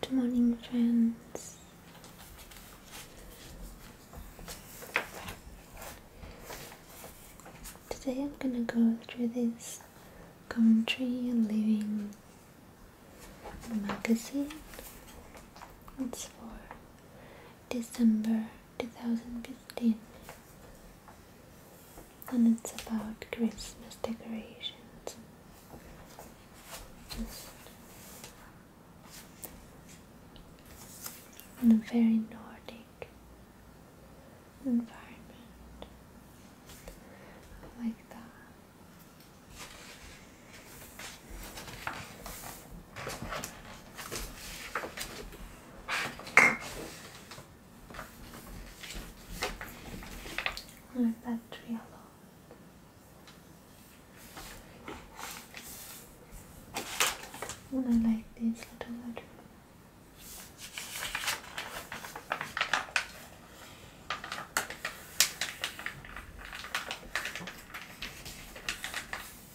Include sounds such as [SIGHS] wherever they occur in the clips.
Good morning, friends. Today I'm gonna go through this Country Living magazine. It's for December 2015 and it's about Christmas decorations. Just in a very Nordic environment. Like that. Leave that tree alone. And I like these little letters.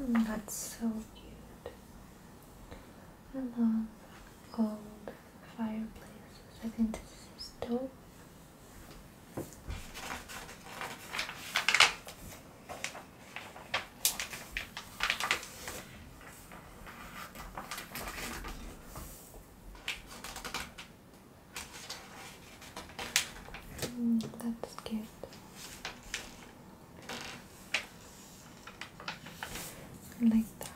Mm, that's so cute. I love old fireplaces. I think this is dope that's good. Like that.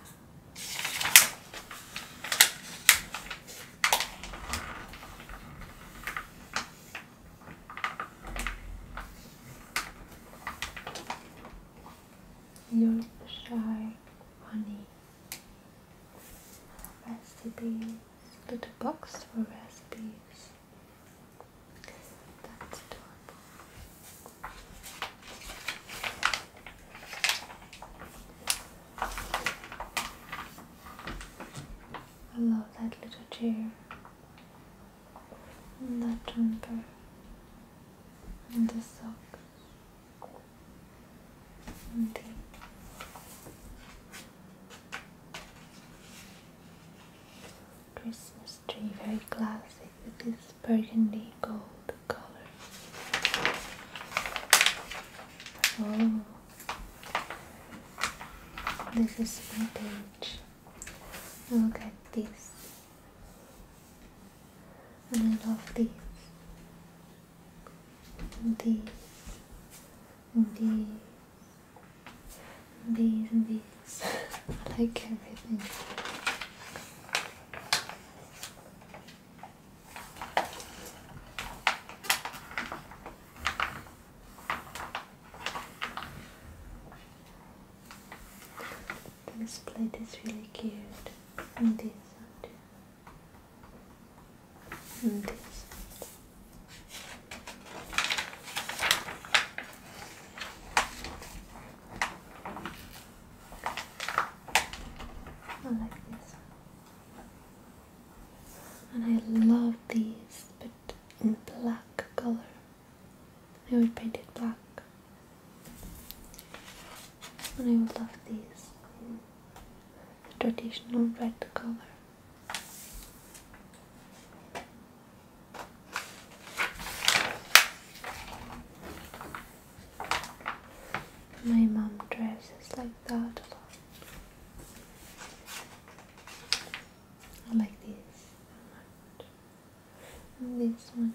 You're shy, honey. Recipe little box for recipes. That's adorable. I love that little chair. And that jumper. And the sock. Christmas tree, very classic with this burgundy gold color. Oh, this is my page. Look at this. And I love these. these bees, bees, bees. I like everything. This plate is really cute. And this one too and I like this and I love these but in black color I would paint it black and I would love these traditional red color. My mom dresses like that a lot. I like this and this one.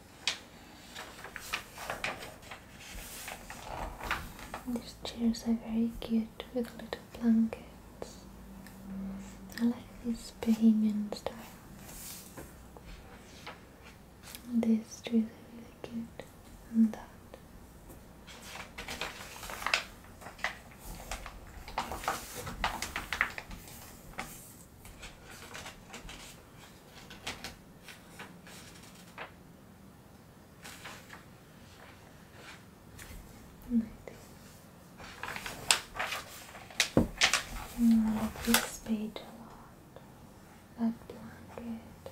These chairs are very cute with little blankets. I like this bohemian style. This tree is really cute. And that. Mm, this page a lot. That blanket.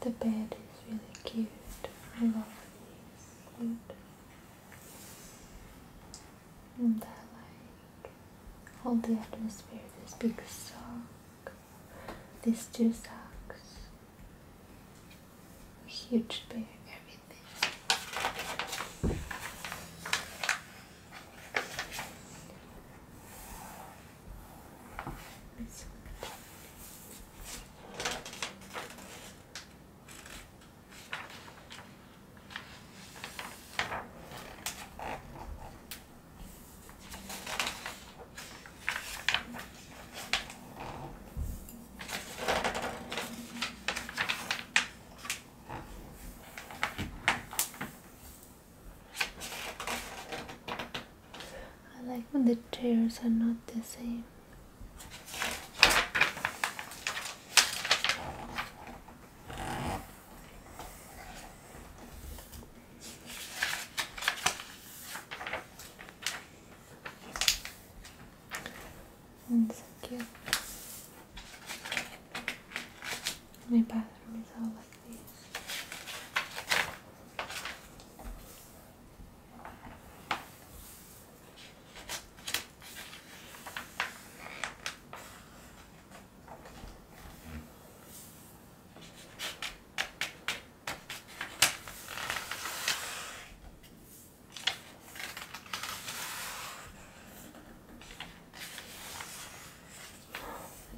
The bed is really cute. I love these. And that light. Hold the atmosphere, this big sock, these two socks, huge bear, everything. I like when the chairs are not the same. And so cute. My bathroom is all like this.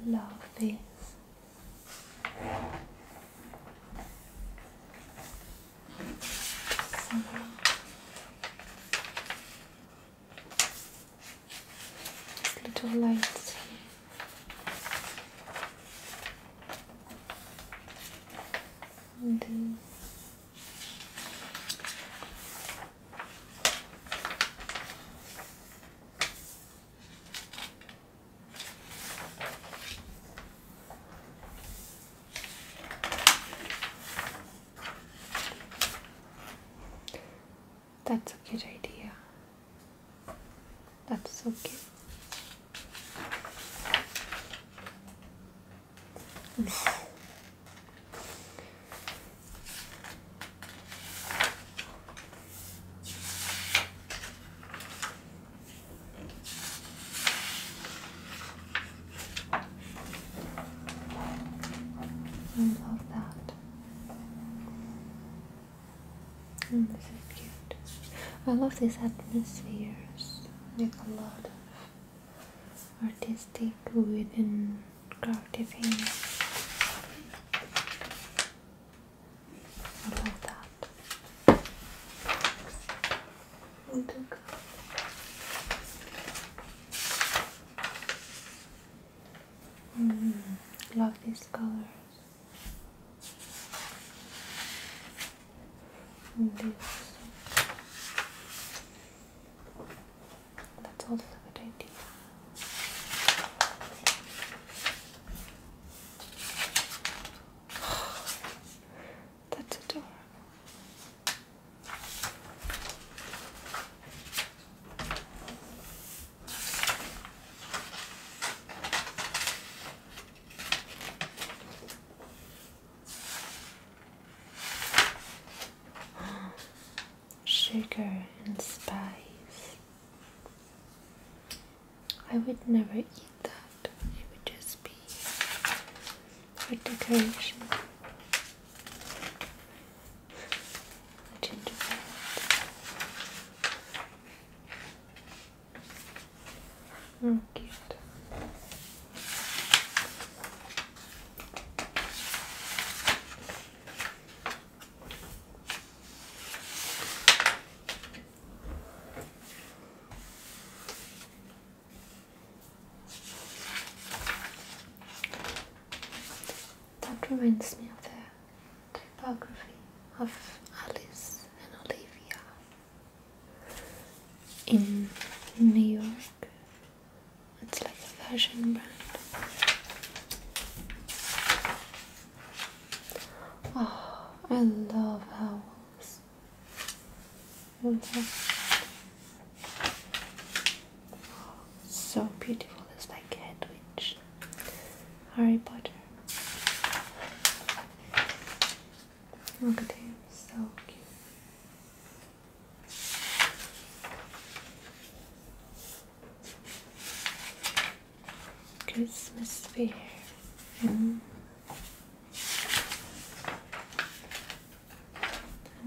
Love this little lights here. And that's a good idea. That's so cute. I love that. Mm, this is cute. I love these atmospheres, like a lot of artistic wooden creative things. I love that. Look. I mm, love these colors. And mm, That's also a good idea. [SIGHS] That's adorable. Sugar and spice. I would never eat that. It would just be for decoration. gingerbread. Oh, that reminds me of the typography of Alice and Olivia in New York. It's like a fashion brand. Oh, I love owls. So beautiful, it's like Hedwig, Harry Potter. Look at him, so cute. Christmas fair. Mm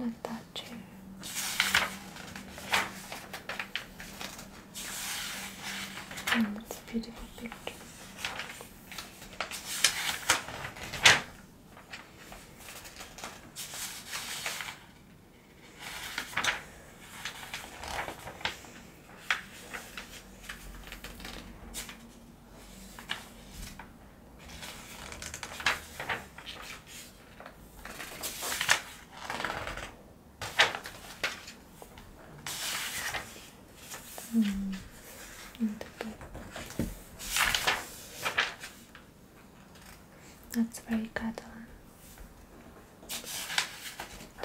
and attach it. And it's a beautiful 음, That's very good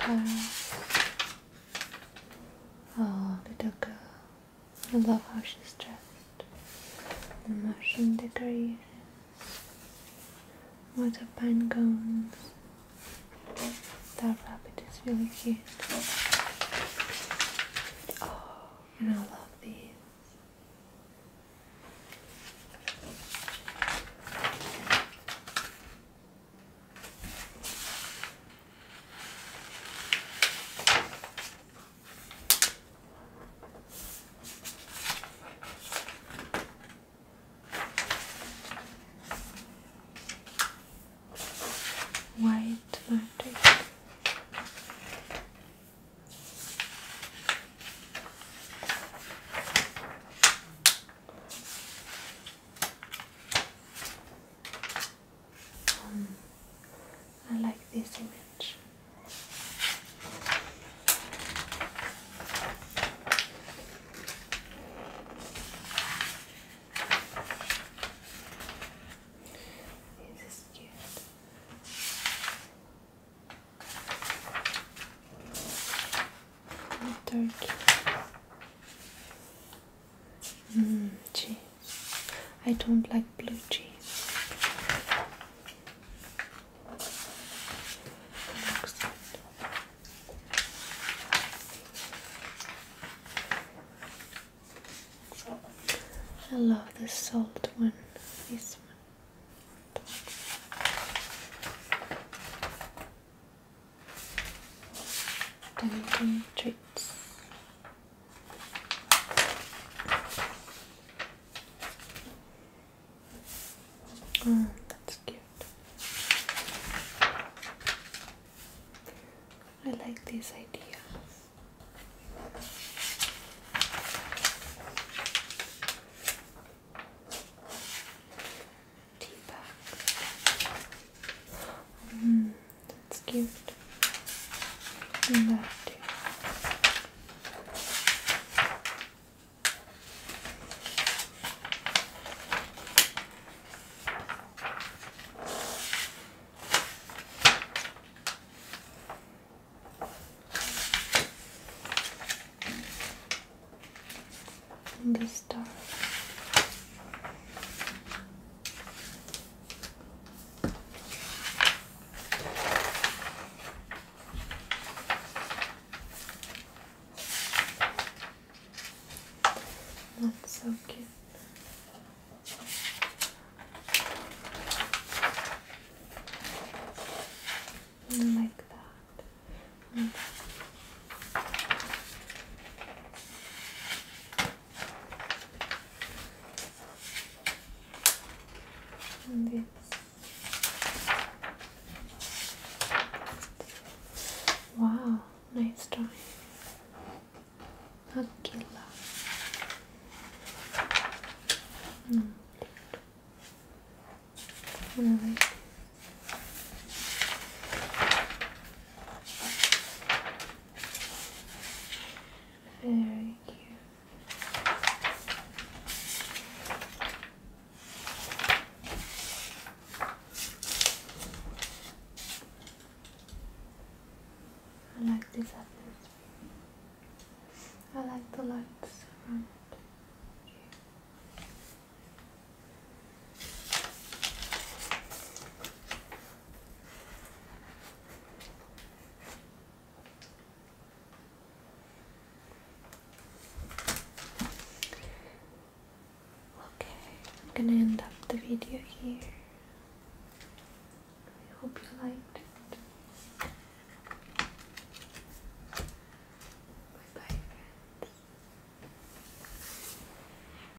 um, Oh, little girl. I love how she's dressed. The mushroom decorations. Water pine cones. That rabbit is really cute. Oh, and I love these. White magic. Um, I like this image. This is cute. A Mm, cheese. I don't like blue cheese. I love the salt one. This one. Dungeon treats. Oh, that's cute. I like this idea. Tea bag. Mm. That's cute. And that And this star. That's so cute. like that. Mm. Wow, nice drawing. Akila. Mm. Really. Very cute. I like this atmosphere. I like the lights around. Okay, I'm gonna end up the video here. I hope you liked Bye bye,